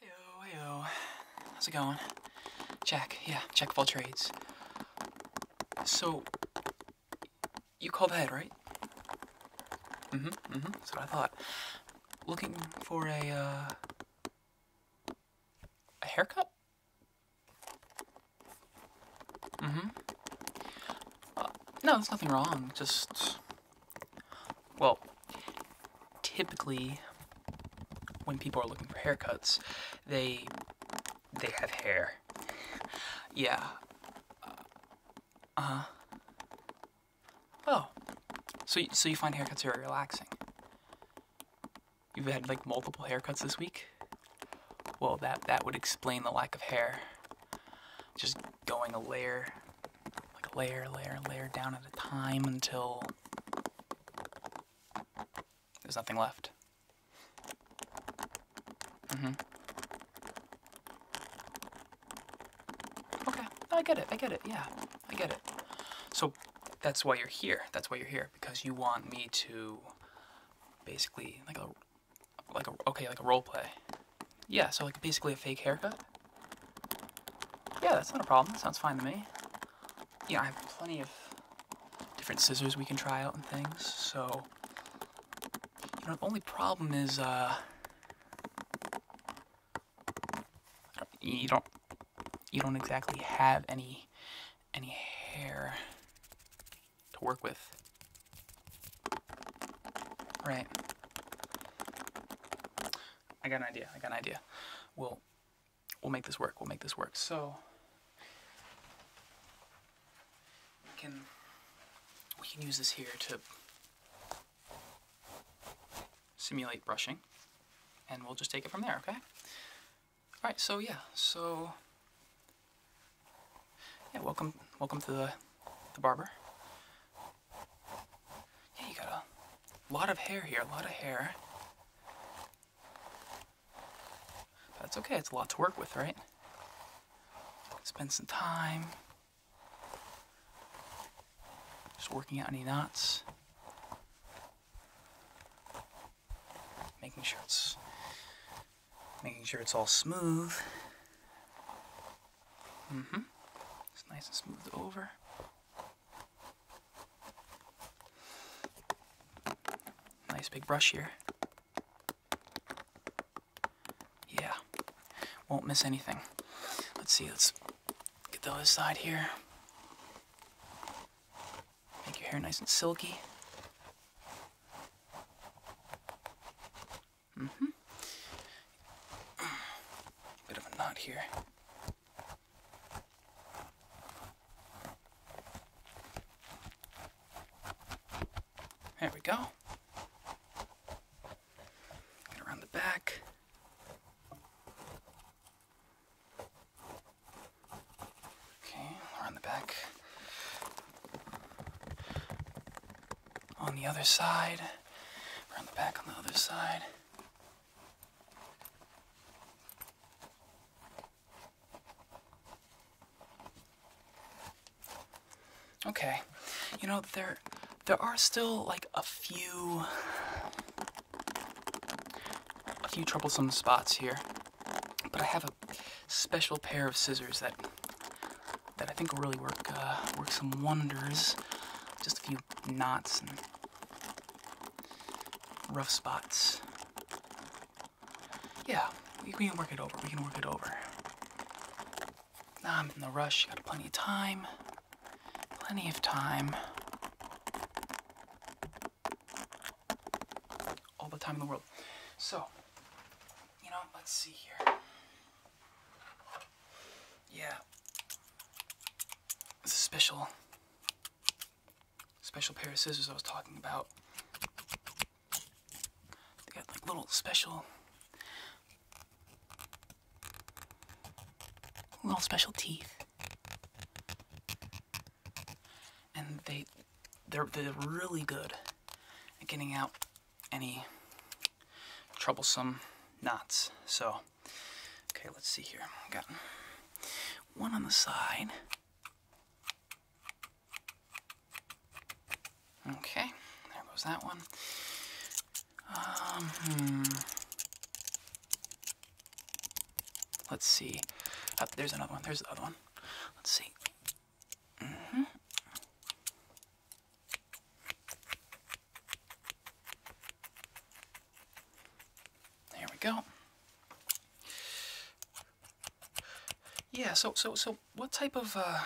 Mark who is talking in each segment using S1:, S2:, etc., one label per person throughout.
S1: Heyo, heyo. How's it going? Jack, yeah, check full trades. So, you called ahead, right? Mm-hmm, mm-hmm, that's what I thought. Looking for a, uh, a haircut? Mm-hmm. Uh, no, there's nothing wrong, just well, typically when people are looking for haircuts, they they have hair. Yeah. Uh huh. Oh. So so you find haircuts very relaxing. You've had like multiple haircuts this week? Well, that that would explain the lack of hair. Just going a layer like layer, layer, layer down at a time until there's nothing left. Mm-hmm. Okay, I get it, I get it, yeah, I get it. So that's why you're here, that's why you're here, because you want me to basically, like a, like a, okay, like a role play. Yeah, so like basically a fake haircut. Yeah, that's not a problem. That sounds fine to me. Yeah, I have plenty of different scissors we can try out and things, so... You know, the only problem is, uh... you don't... You don't exactly have any... any hair to work with. Right. I got an idea. I got an idea. We'll we'll make this work. We'll make this work. So we can we can use this here to simulate brushing and we'll just take it from there, okay? All right, so yeah, so yeah, welcome welcome to the the barber. Yeah, you got a lot of hair here, a lot of hair. that's okay, it's a lot to work with, right? Spend some time. Just working out any knots. Making sure it's making sure it's all smooth. Mm-hmm. It's nice and smooth over. Nice big brush here. Yeah. Won't miss anything. Let's see, let's get the other side here. Make your hair nice and silky. Mm hmm Bit of a knot here. There we go. Get around the back. Okay, around the back on the other side, around the back on the other side. Okay, you know there there are still like a few a few troublesome spots here, but I have a special pair of scissors that that I think will really work uh, work some wonders. Just a few knots and rough spots. Yeah, we, we can work it over. We can work it over. Nah, I'm in the rush. Got plenty of time. Plenty of time. All the time in the world. So, you know, let's see here. Yeah. It's a special, special pair of scissors I was talking about. They got like little special, little special teeth. And they, they're, they're really good at getting out any troublesome knots. So, okay, let's see here. I've got one on the side. Okay, there goes that one. Um, hmm. Let's see. Uh, there's another one. There's the other one. Let's see. Mm-hmm. There we go. Yeah, so so so what type of uh,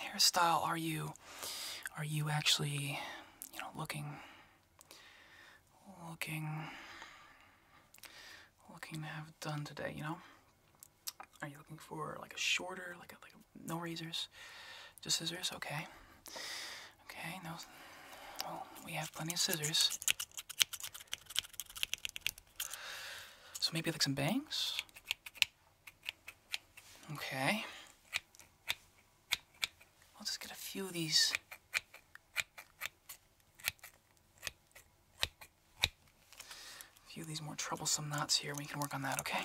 S1: hairstyle are you are you actually you know looking looking looking to have done today, you know? Are you looking for like a shorter, like a like a no razors, just scissors. Okay. Okay. No. we have plenty of scissors. So maybe like some bangs. Okay. I'll just get a few of these. A few of these more troublesome knots here. We can work on that, okay?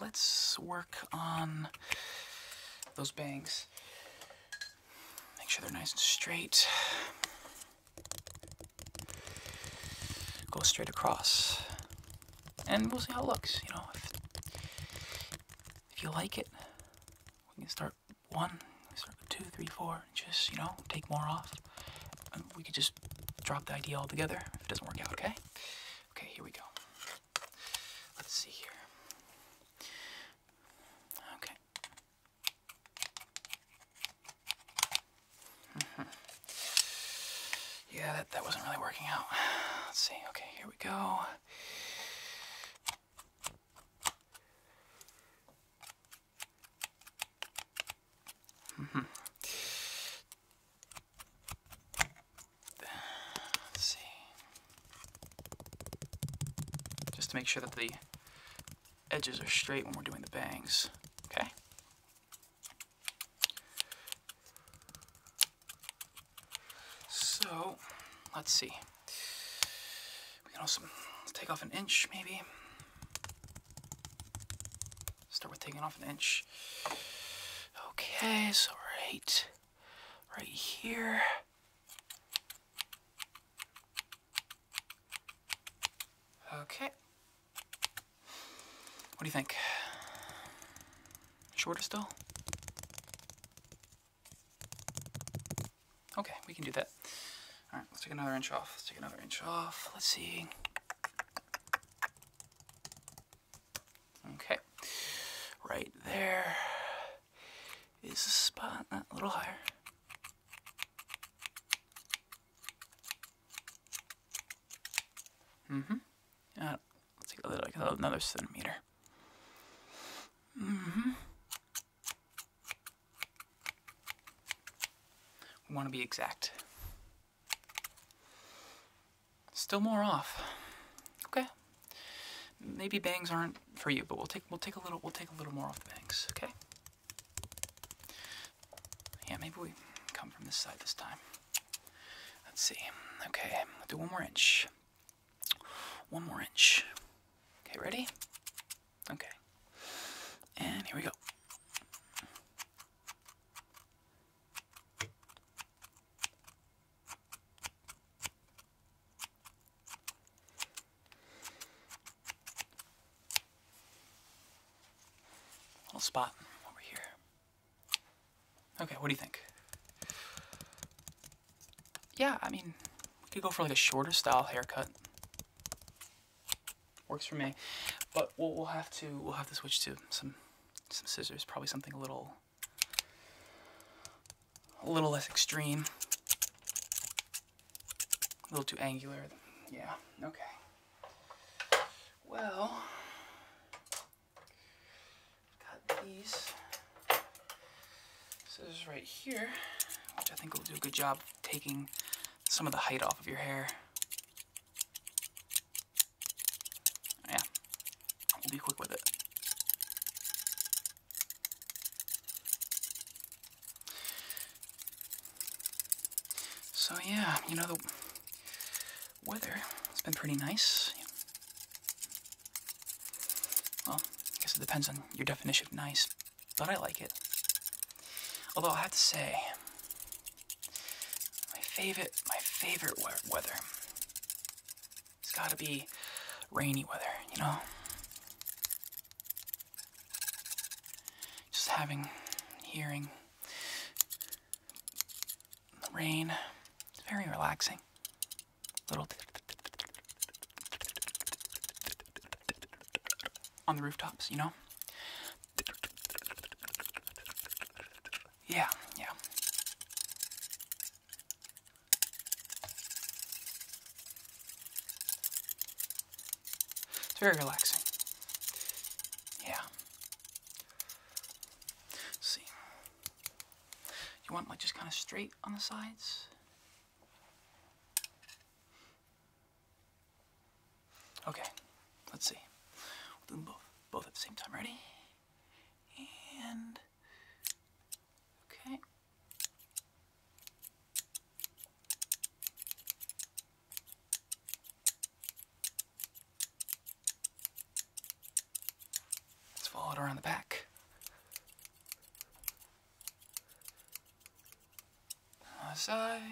S1: let's work on those bangs. Make sure they're nice and straight. Go straight across. And we'll see how it looks, you know. If, you like it, we can start one, start with two, three, four, just, you know, take more off. we could just drop the idea altogether if it doesn't work out, okay? Okay, here we go. Let's see here. Okay. Yeah, that, that wasn't really working out. Let's see. Okay, here we go. -hmm. Let's see. Just to make sure that the edges are straight when we're doing the bangs. Okay. So, let's see. We can also take off an inch, maybe. Start with taking off an inch. Okay, so right, right here. Okay. What do you think? Shorter still? Okay, we can do that. All right, let's take another inch off. Let's take another inch off. Let's see. Okay, right there is the spot, a little higher. Mm-hmm. Yeah. let's take a little, like another centimeter. Mm-hmm. We want to be exact. Still more off. Okay. Maybe bangs aren't for you, but we'll take we'll take a little we'll take a little more off the bangs, okay? Yeah, maybe we come from this side this time. Let's see. Okay, we'll do one more inch. One more inch. Okay, ready? Okay. And here we go. Little spot over here. Okay, what do you think? Yeah, I mean, we could go for like a shorter style haircut. Works for me, but we'll, we'll have to we'll have to switch to some some scissors, probably something a little, a little less extreme, a little too angular. Yeah, okay. Well, got these scissors right here, which I think will do a good job taking some of the height off of your hair. Yeah, we'll be quick with it. So yeah, you know, the weather, it's been pretty nice. Well, I guess it depends on your definition of nice, but I like it. Although I have to say, my favorite, my favorite weather. It's gotta be rainy weather, you know? Just having, hearing the rain. It's very relaxing. Little on the rooftops, you know? Yeah, yeah. It's very relaxing. Yeah. see. You want like just kind of straight on the sides? Okay, let's see. We'll do them both, both at the same time. Ready? and okay. Let's follow it around the back. side.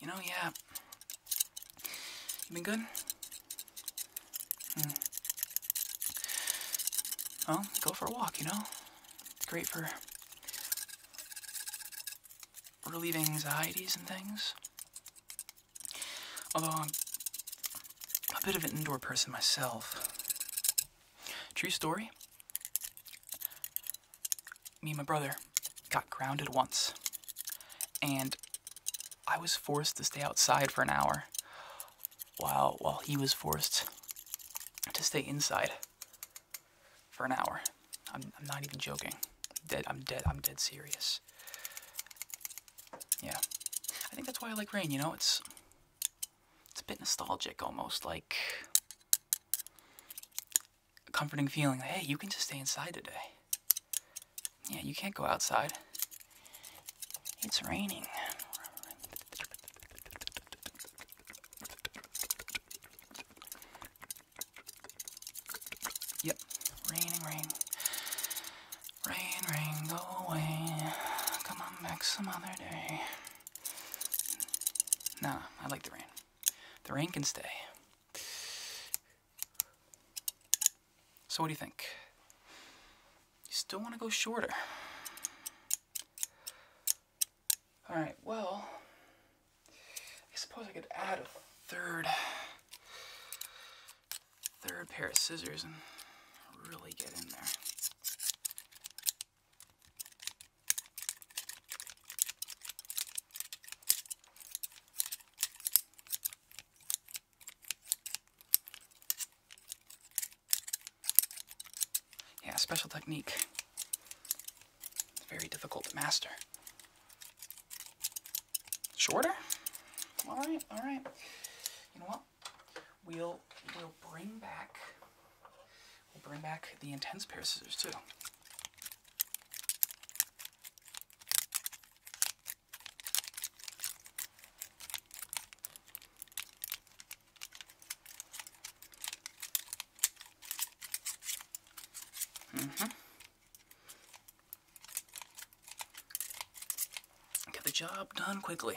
S1: You know, yeah. You been good? Hmm. Well, go for a walk, you know? It's great for relieving anxieties and things. Although I'm a bit of an indoor person myself. True story me and my brother got grounded once, and I was forced to stay outside for an hour while, while he was forced to stay inside for an hour. I'm, not even joking. I'm dead, I'm dead, I'm dead serious. Yeah. I think that's why I like rain, you know? It's it's a bit nostalgic almost like a comforting feeling hey, you can just stay inside today. Yeah, you can't go outside. It's raining. Yep, raining, rain. Rain, rain, go away. Come on back some other day. Nah, I like the rain. The rain can stay. So what do you think? You still want to go shorter? All right, well, I suppose I could add a third, third pair of scissors and really get in there. Yeah, special technique. very difficult to master. Shorter? All right, all right. You know what? We'll we'll bring back we'll bring back the intense pair of scissors too hmm Get the job done quickly.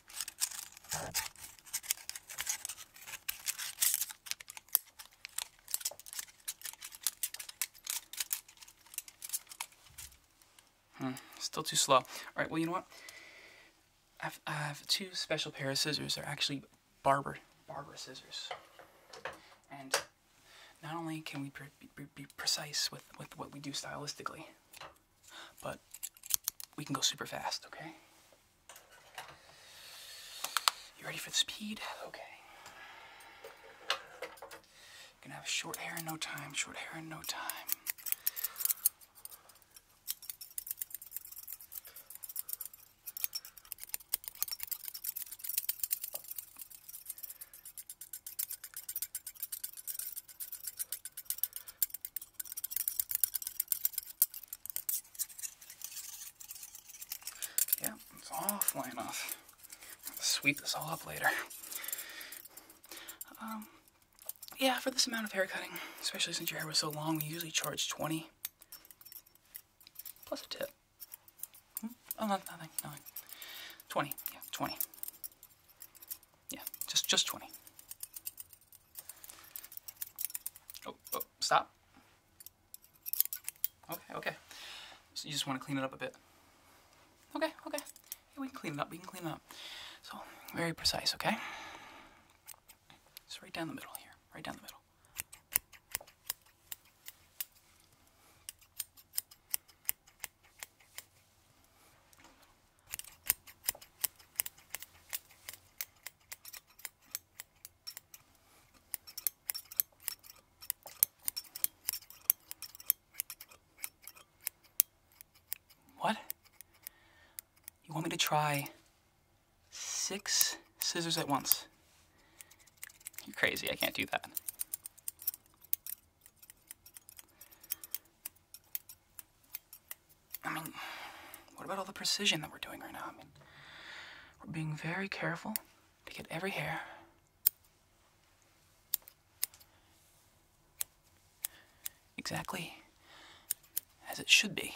S1: Hmm, still too slow. All right, well, you know what? I've, I have 2 special pair of scissors. They're actually barber, barber scissors. And not only can we be, be precise with, with what we do stylistically, but we can go super fast, okay? You ready for the speed? Okay. gonna have short hair in no time, short hair in no time. Yeah, it's awfully enough. I'll sweep this all up later. Um, yeah, for this amount of hair cutting, especially since your hair was so long, we usually charge 20 plus a tip. Hmm? Oh, no, nothing, nothing. 20, yeah, 20. Yeah, just just 20. Oh, oh, stop. Okay, okay. you just want to clean it up a bit. Okay, okay. we can clean it up, we can clean it up. So, very precise, okay? Just right down the middle here, right down the middle. What? You want me to try six scissors at once? You're crazy, I can't do that. I mean, what about all the precision that we're doing right now? I mean, we're being very careful to get every hair. Exactly as it should be.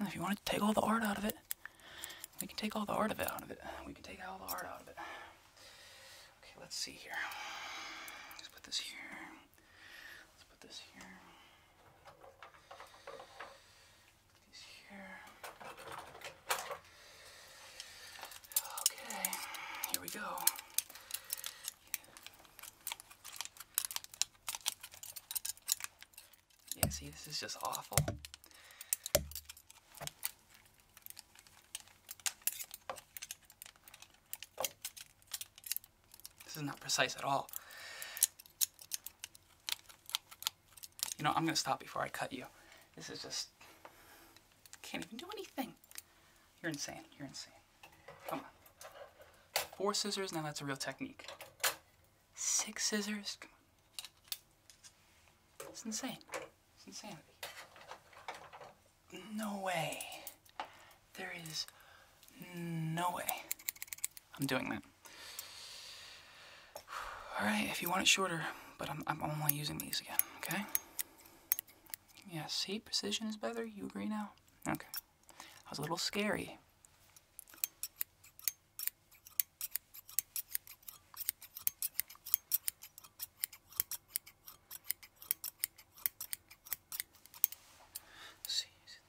S1: If you want to take all the art out of it, we can take all the art of it out of it. We can take all the art out of it. Okay, let's see here. Let's put this here. Let's put this here. here. Okay, here we go. Yeah, see, this is just awful. This is not precise at all. You know, I'm going to stop before I cut you. This is just... Can't even do anything. You're insane. You're insane. Come on. Four scissors, now that's a real technique. Six scissors? It's insane. It's insanity. No way. There is no way I'm doing that. All right, if you want it shorter, but I'm, I'm only using these again, okay? Yes. see, precision is better. You agree now? Okay. That was a little scary, Sí, sí.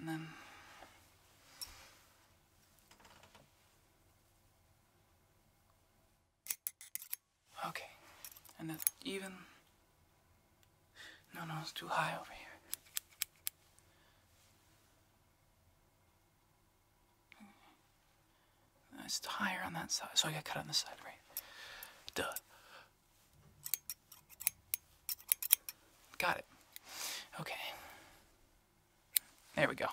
S1: Um. Okay, and then, even. No, no, it's too high over here. It's higher on that side, so I got to cut on the side, right? Duh. Got it. Okay. There we go.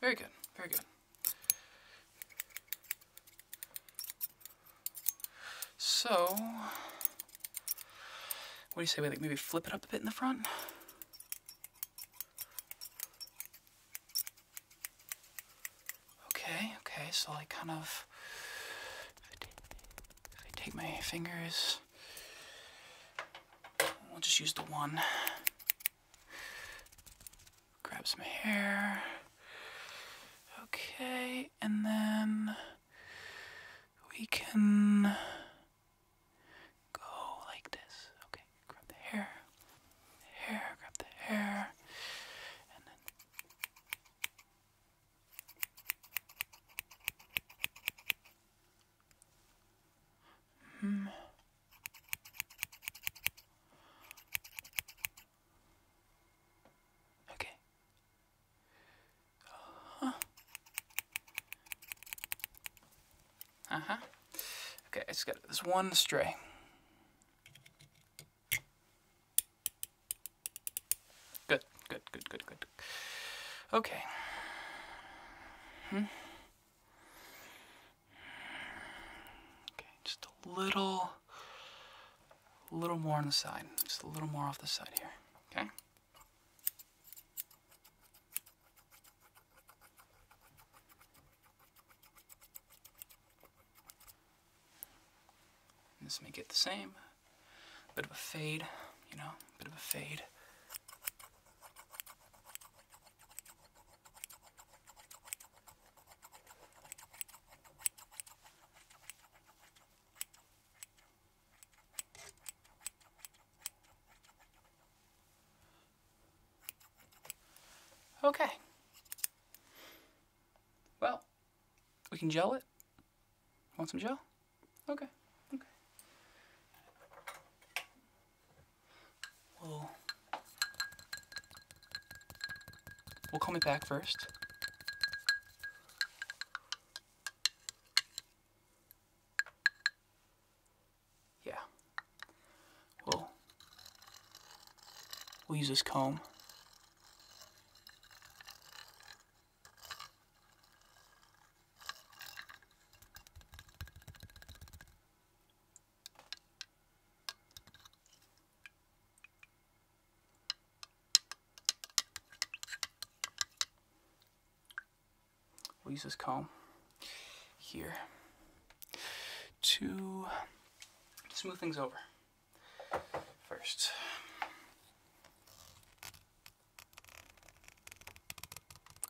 S1: Very good, very good. So, what do you say we maybe flip it up a bit in the front? Okay, okay, so I kind of, take my fingers, we'll just use the one grab some hair. Okay, and then we can go like this. Okay, grab the hair, the hair, grab the hair, and then. -hmm. Okay. Uh huh. Uh huh. Okay, I just got this one stray. Good, good, good, good, good. Okay. Hmm. Okay, just little, a little more on the side, just a little more off the side here, okay? Just make it the same. Bit of a fade, you know, bit of a fade. Okay. Well, we can gel it. Want some gel? Okay. Okay. we We'll call me back first. Yeah. we we'll use this comb. We'll use this comb here to smooth things over first.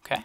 S1: Okay.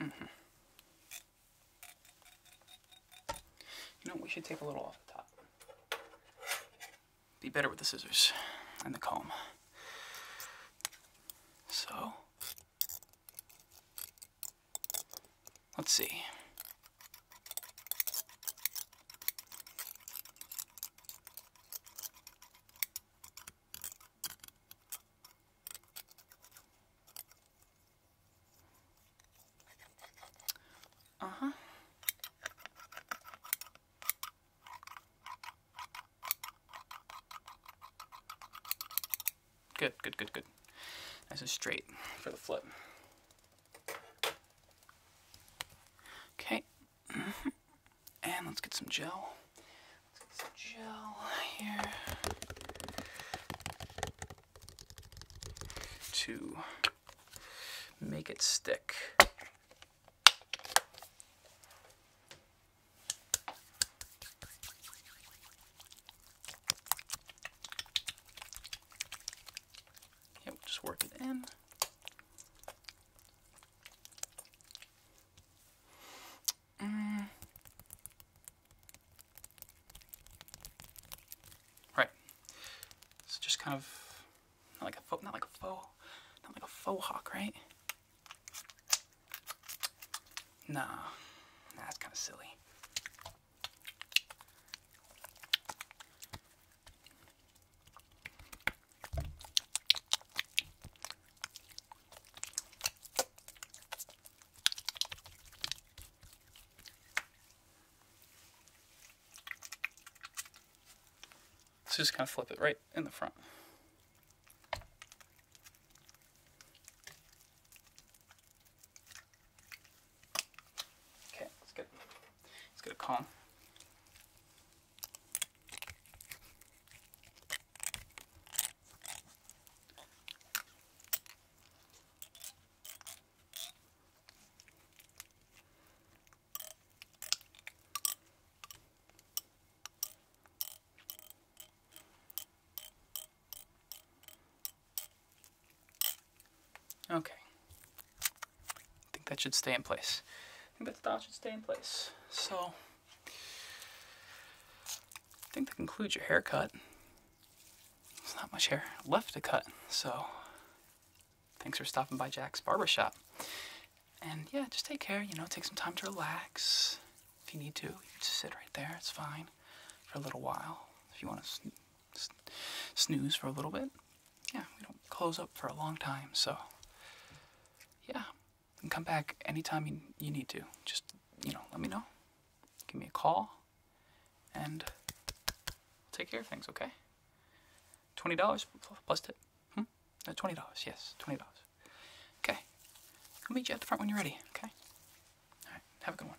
S1: Mm -hmm. You we should take a little off the top. Be better with the scissors and the comb. So, Let's see. Uh-huh. Good, good, good, good. Nice and straight for the flip. Okay. Mm-hmm. And let's get some gel. Let's get some gel here. To make it stick. Yeah, we'll just work it in. Mm. Right. It's just kind of not like a foe, not like a foe, not like a faux hawk, right? Nah, nah, that's kind of silly. So just kind of flip it right in the front. Okay, it's good. It's good calm. Okay. I think that should stay in place. I think that style should stay in place. So, I think that concludes your haircut. There's not much hair left to cut, so thanks for stopping by Jack's Barbershop. And yeah, just take care, you know, take some time to relax. If you need to, just sit right there, it's fine, for a little while. If you want to snooze for a little bit. Yeah, we don't close up for a long time, so yeah, you come back anytime you, you need to. Just, you know, let me know. Give me a call, and I'll take care of things, okay? $20 plus tip. Hmm? $20, yes, $20. Okay, I'll meet you at the front when you're ready, okay? All right, have a good one.